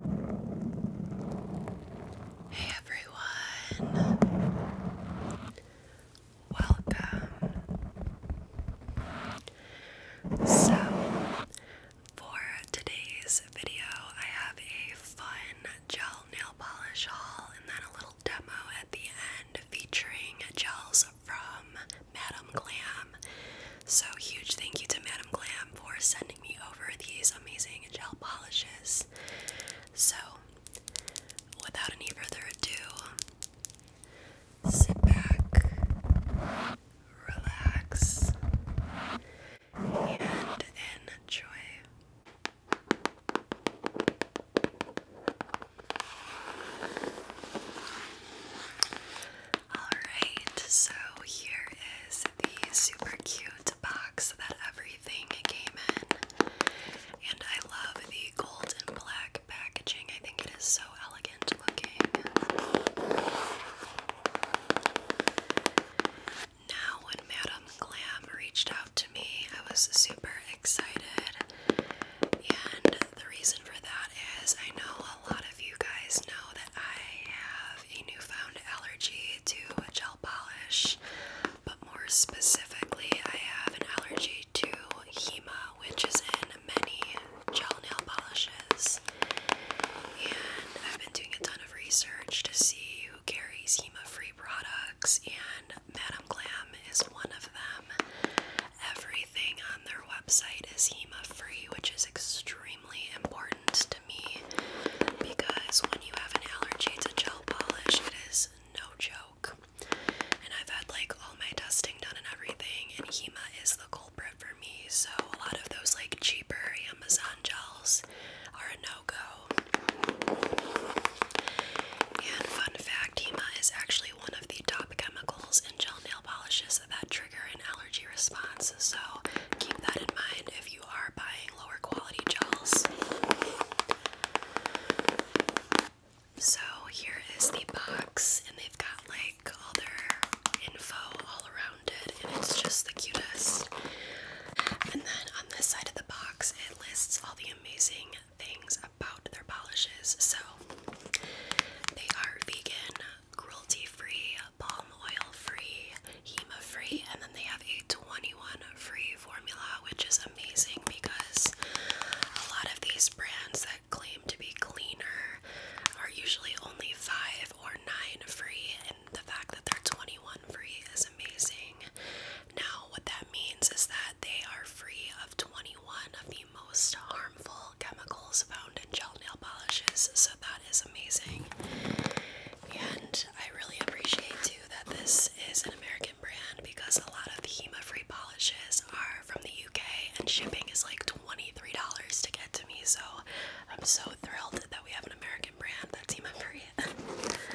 Hey everyone, welcome. So, for today's video, I have a fun gel nail polish haul and then a little demo at the end featuring gels from Madame Glam. So, huge thank you to Madam Glam for sending me over these amazing gel polishes. So, without any further ado, sit back, relax, and enjoy. Alright, so here is the super cute box that everything came in. And I love the gold and black packaging. I think it is so elegant looking. Now, when Madame Glam reached out to me, I was super excited. And the reason for that is I know a lot of you guys know that I have a newfound allergy to gel polish, but more specifically, I have an allergy to Hema, which is in many gel nail polishes. And I've been doing a ton of research to see who carries Hema free products, and Madam Glam is one of them. Everything on their website is Hema free, which is extremely important to me because when you have an allergy to gel polish, it is no joke. And I've had like all my testing done and everything, and HEMA is the culprit for me. So a lot of those like cheaper Amazon gels are a no go. And fun fact, HEMA is actually one of the top chemicals in gel nail polishes that trigger an allergy allergy so keep that in mind if you are buying lower quality gels. So here is the box, and they've got like all their info all around it, and it's just the cutest. And then on this side of the box, it lists all the amazing things about their polishes. So they are vegan, cruelty free, palm oil free, HEMA free, and then they have a 21 free formula, which is amazing because a lot of these brands that claim to be cleaner are usually only 5 or 9 free, and the fact that they're 21 free is amazing. Now, what that means is that they are free of 21 of the most harmful chemicals found gel nail polishes, so that is amazing. And I really appreciate too that this is an American brand because a lot of the HEMA free polishes are from the UK and shipping is like $23 to get to me. So I'm so thrilled that we have an American brand that's HEMA free.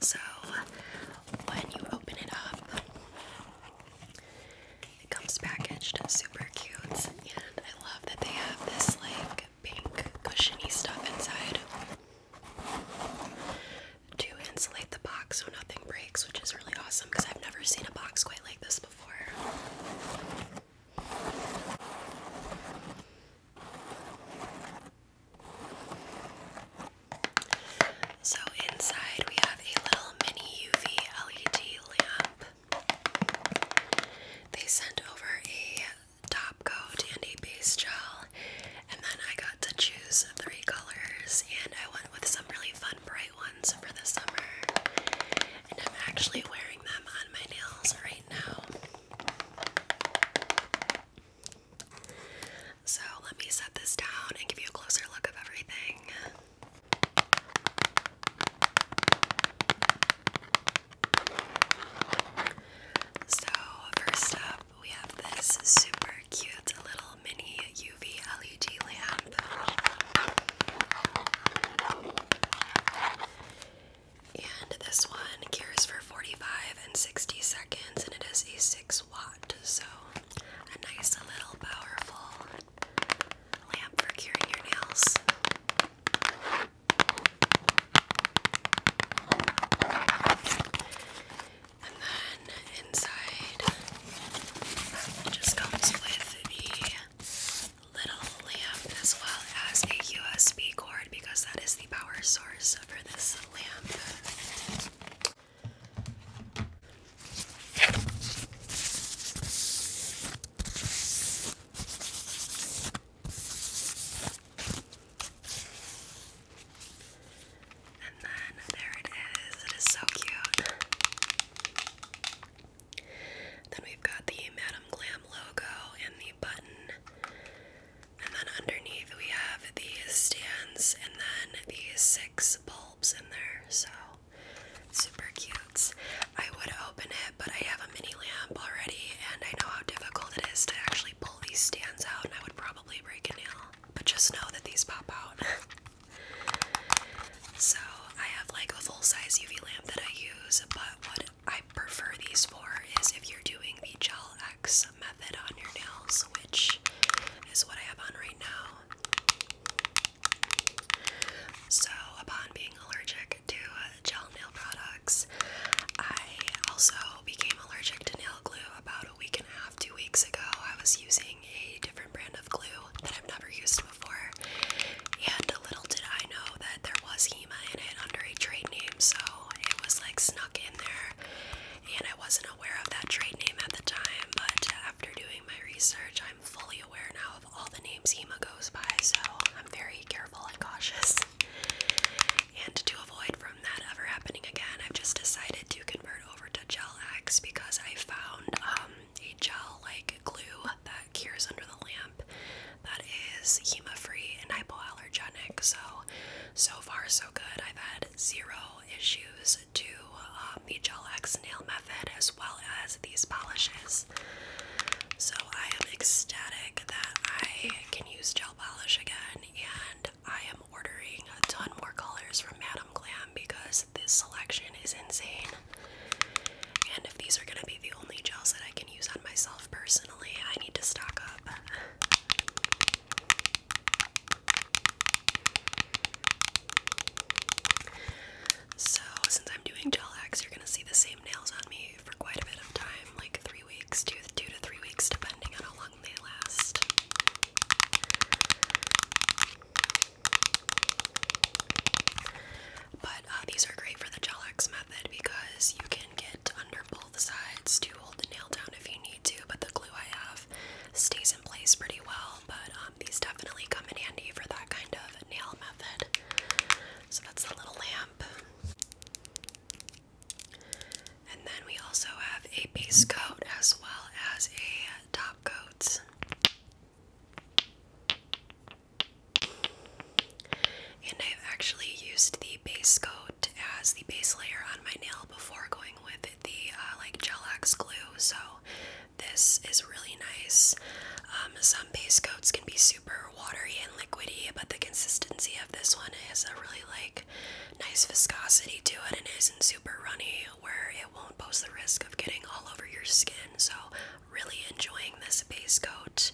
So when you open it up, it comes packaged super cute, and I love that they have this like pink cushiony stuff inside to insulate the box so nothing breaks, which is really awesome because I've never seen a box quite like this before. So inside we have a little mini UV LED lamp. They sent over a top coat and a base gel, and then I got to choose three colors, and I went with some really fun bright ones for the summer. And I'm actually wearing them on my nails right now. So let me set this down and give you a closer look of everything. So, first up, we have this super cute little mini UV LED lamp. And this one cures for 45 and 60 seconds, and it is a 6 so a nice little powerful lamp for curing your nails. And then inside just comes with the little lamp as well as a USB cord because that is the power source for this and then there it is. It is so cute. Then we've got the Madam Glam logo and the button. And then underneath we have these stands and then these six bulbs in there. So super cute. I would open it, but I have a mini lamp already and I know how difficult it is to actually pull these stands out and I would probably break a nail. But just know that these pop out. so I have like a full-size UV lamp that I use, but what I prefer these for is if you're doing the gel X method on your nails which is what I have on right now. So, upon being allergic to uh, gel nail products, I also became allergic to nail glue about a week and a half, two weeks ago. I was using a different brand of glue that I've never used before, and little did I know that there was HEMA in it under a trade name, so it was like snuck in there and I wasn't aware of that trade name at the time, but after doing my research, I'm fully aware now of all the names HEMA goes by, so I'm very careful and cautious. And to avoid from that ever happening again, I've just decided to convert over to Gel X because I found um, a gel like glue that cures under the lamp that is HEMA free and hypoallergenic. So so far, so good. I've had zero issues to um, the Gel X nail method as well as these polishes. So I am ecstatic that I can use gel polish again, and I am ordering a ton more colors from Madam Glam because this selection is insane. And if these are going to be the only gels that I can use on myself personally, I need to stock up. So, since I'm doing gel you're gonna see the same nails on me for quite a bit of time like three weeks, two, to three weeks, depending on how long they last. But uh, these are great for the gel method because you can get under the sides to hold the nail down if you need to, but the glue I have stays in place pretty well. But um, these definitely come in handy for that kind of nail method. So that's the little lamp. And then we also have a base coat as well as a top coats. And I've actually used the base coat as the base layer on my nail before going with the uh, like gel glue. So this is really nice. Um, some base coats can be super watery and liquidy, but the consistency of this one has a really like nice viscosity to it and isn't super runny where it won't pose the risk of getting all over your skin. So really enjoying this base coat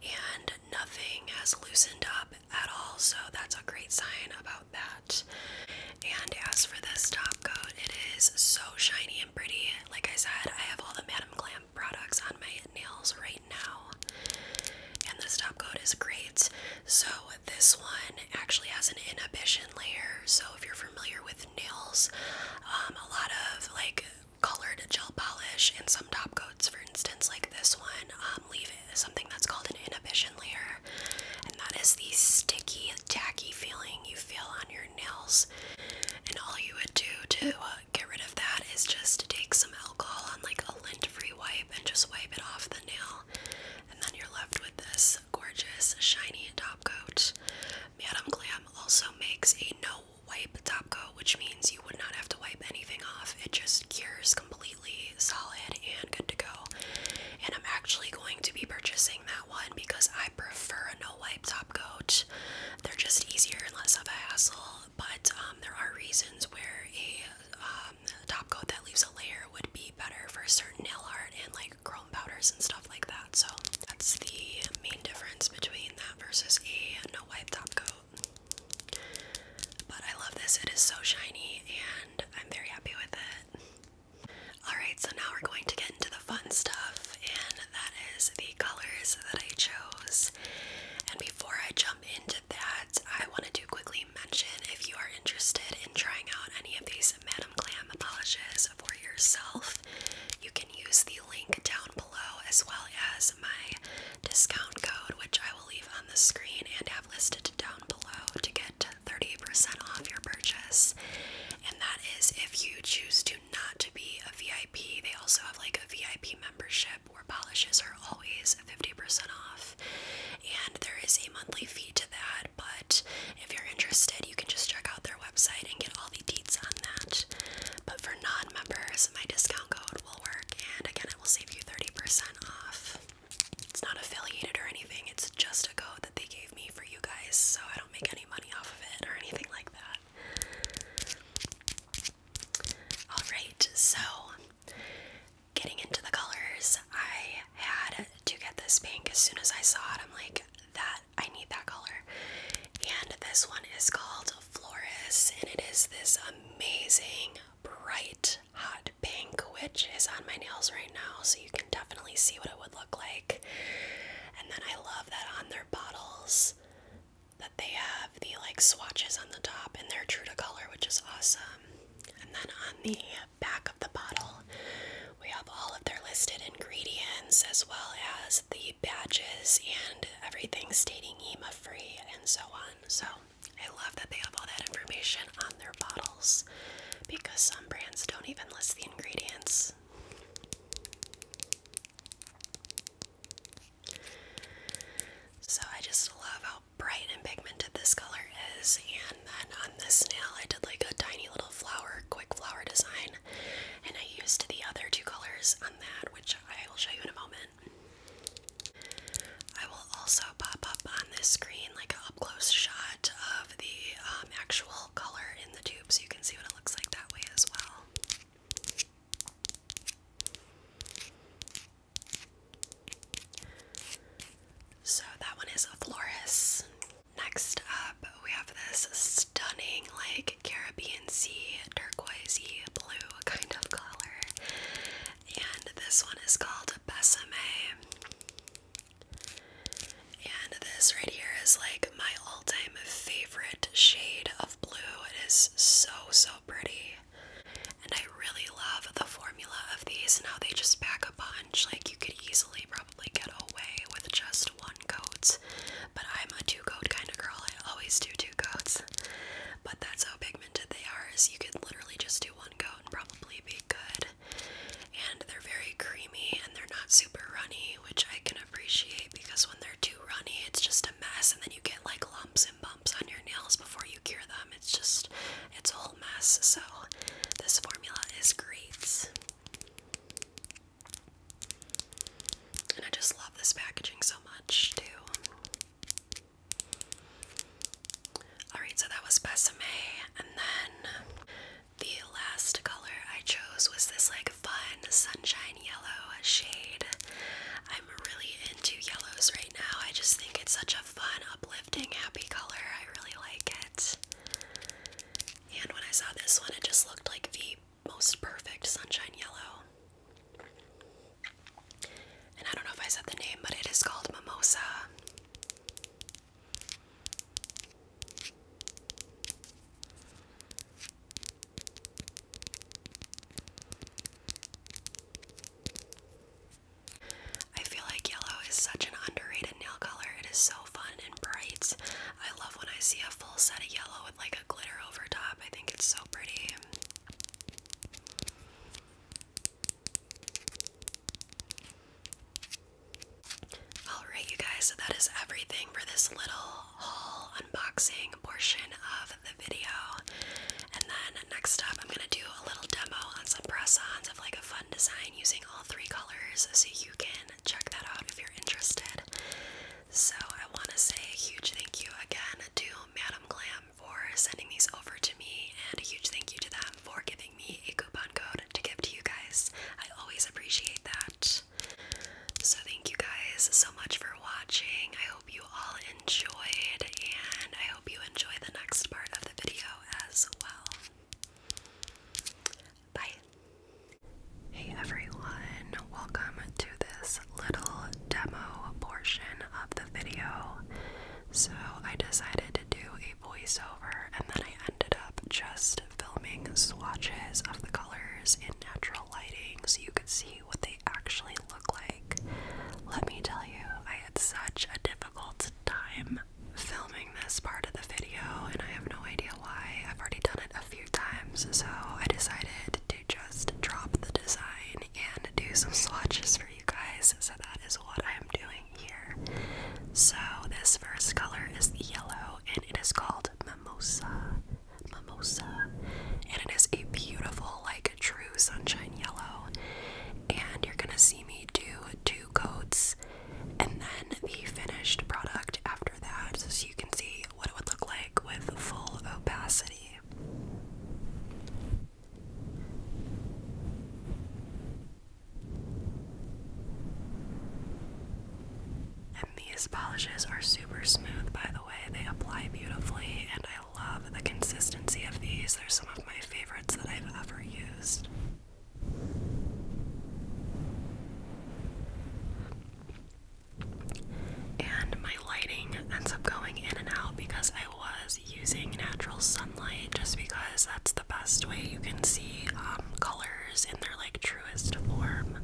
and nothing has loosened up at all, so that's a great sign about that. And as for this top coat, it is so shiny and pretty. Like I said, I have all the Madame Glam products on my nails right now. And this top coat is great. So, this one actually has an inhibition layer. So, if you're familiar with nails, um, a lot of like colored gel polish and some top coats for instance, like this one, um, leave it, something that's called an inhibition layer, and that is the sticky, tacky feeling you feel on your nails. And all you would do to uh, get rid of that is just take some alcohol on like a lint-free wipe and just wipe it off the nail, and then you're left with this gorgeous, shiny top coat. Madame Glam also makes a no wipe top coat, which means you would not have to wipe anything off. It just cures completely solid and good to go. And I'm actually going to be purchasing that one because I prefer a no wipe top coat. They're just easier and less of a hassle, but um, there are reasons where a um, top coat that leaves a layer would be better for certain nail art and like chrome powders and stuff like that. So that's the main difference between that versus a no wipe top coat. But I love this, it is so shiny and I'm very happy with it. Alright, so now we're going to get into the fun stuff, and that is the colors that I chose. And before I jump into that, I wanted to quickly mention if you are interested in trying out any of these Madame Glam polishes for yourself, you can use the link down below as well as my discount code, which I will leave on the screen and have listed down below, to get thirty percent off your purchase. And that is if you choose to not to be a VIP. They also have like a VIP membership where polishes are always 50% off. And there is a monthly fee to that, but if you're interested, you can just check out their website and get all the deets on that. But for non members, my discount code will work, and again, it will save you 30% off. It's not affiliated or anything, it's just a code that they gave me for you guys, so I don't make any money off of it or anything like that. Alright, so getting into the colors, I had to get this pink as soon as I saw it. I'm like, that I need that color. And this one is called Flores, and it is this amazing bright hot pink, which is on my nails right now, so you can definitely see what it would look like. And then I love that on their bottles that they have the like swatches on the top and they're true to color, which is awesome. And then on the back of the bottle, we have all of their listed ingredients as well as the badges and everything stating EMA free and so on. So I love that they have all that information on their bottles because some brands don't even list the ingredients. So I just love how bright and pigmented this color is. And then on this nail, I did like a tiny little flower, quick flower design. And I used the other two colors on that, which I will show you in a moment. I will also pop up on this screen like an up shot of the um, actual color in the tube so you can see what it looks like that way as well. So that one is a Floris. Next up, we have this stunning, like Caribbean sea, turquoisey blue kind of color. And this one is called Besame. And this right here is like my all-time favorite shade of blue. It is so so pretty. And I really love the formula of these and how they just pack a bunch. Like you could easily probably get away with just one coat. But I'm a two-coat kind of girl. I always do two coats. But that's how big they are is you could literally just do one coat and probably be good. And they're very creamy and they're not super runny, which I can appreciate because when they're too runny, it's just a mess and then you get like lumps and bumps on your nails before you cure them. It's just, it's a whole mess. So, this formula is great. And I just love this packaging so much, too. Alright, so that was Besame. And then the last color I chose was this like fun sunshine yellow shade. I'm really into yellows right now. I just think it's such a fun, uplifting, happy color. I really like it. And when I saw this one, it just looked like the most perfect sunshine yellow. And I don't know if I said the name, but it is called Mimosa. I feel like yellow is such an underrated nail color. It is so fun and bright. I love when I see a full set of yellow with like a glitter over top. I think it's so pretty. Alright, you guys, so that is everything for this little haul unboxing portion of the video. And then next up, I'm going to do a little demo on some press ons of like a fun design using all three colors. So you can check that out if you're interested. So I want to say a huge thank you again to Madam Glam for sending these over to me, and a huge thank you to them for giving me a coupon code to give to you guys. I always appreciate that. So thank you guys so much for watching. I hope you all enjoyed, and I hope you enjoy the next part of the video as well. Bye. Hey everyone, welcome to this little demo portion of the video, so I decided to do a voiceover and then I ended up just filming swatches of the colors in natural lighting so you could see what they actually look like. Let me tell you, I had such a difficult time filming this part of the video and I have no idea why. I've already done it a few times, so I decided to just drop the design and do some swatches for you guys. So that is what I am doing here. So this first color is yellow and it is called Mimosa. Mimosa. And it is a beautiful, like true sunshine yellow. And you're gonna see me do two coats and then the finished product after that, so you can see what it would look like with full opacity. And these polishes are super smooth, by the way. They apply beautifully, and I love the consistency of these. They're some of my favorites that I've ever used. And my lighting ends up going in and out because I was using natural sunlight just because that's the best way you can see um, colors in their like truest form.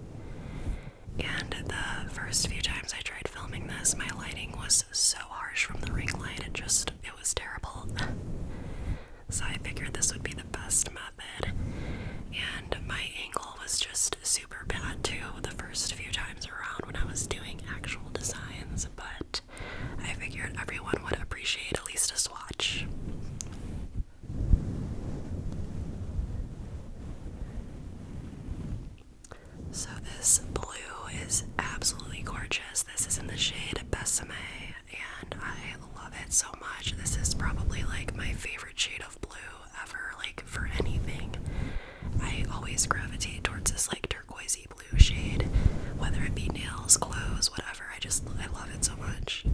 And the first few times I tried filming this, my lighting was so harsh from the ring light, it just it was terrible. so I figured this would be the best method. And my angle was just super bad too the first few times around when I was doing actual designs, but I figured everyone would appreciate at least a swatch. So, this blue is absolutely gorgeous. This is in the shade Besame, and I love it so much. This is probably like my favorite shade of blue ever, like for anything. I always gravitate towards this like turquoisey blue shade, whether it be nails, clothes, whatever. I just I love it so much.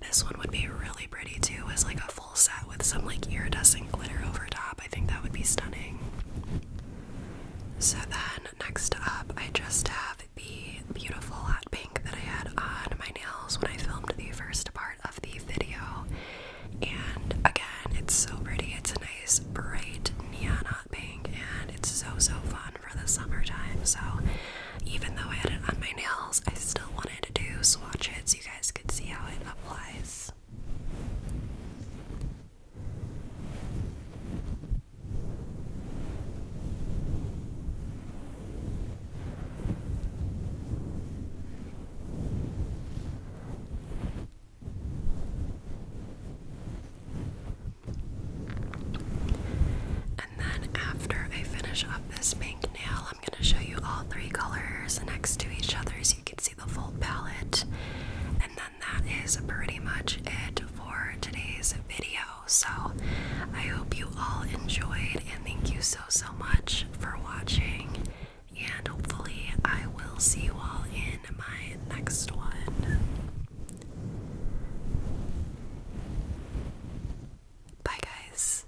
This one would be really pretty too, as like a full set with some like iridescent glitter over top. I think that would be stunning. So then next up, I just have the beautiful hot pink that I had on my nails when I filmed the first part of the video. And again, it's so pretty. It's a nice bright neon hot pink, and it's so so fun for the summertime. So, even though I had it on my nails, I still wanted to do swatch it so you guys could see how it applies. And then after I finish up this pink nail, I'm going to show you all three colors next to each other so you can see the full palette. And then that is pretty much it for today's video. So I hope you all enjoyed and thank you so so much for watching. And hopefully I will see you all in my next one. Bye guys.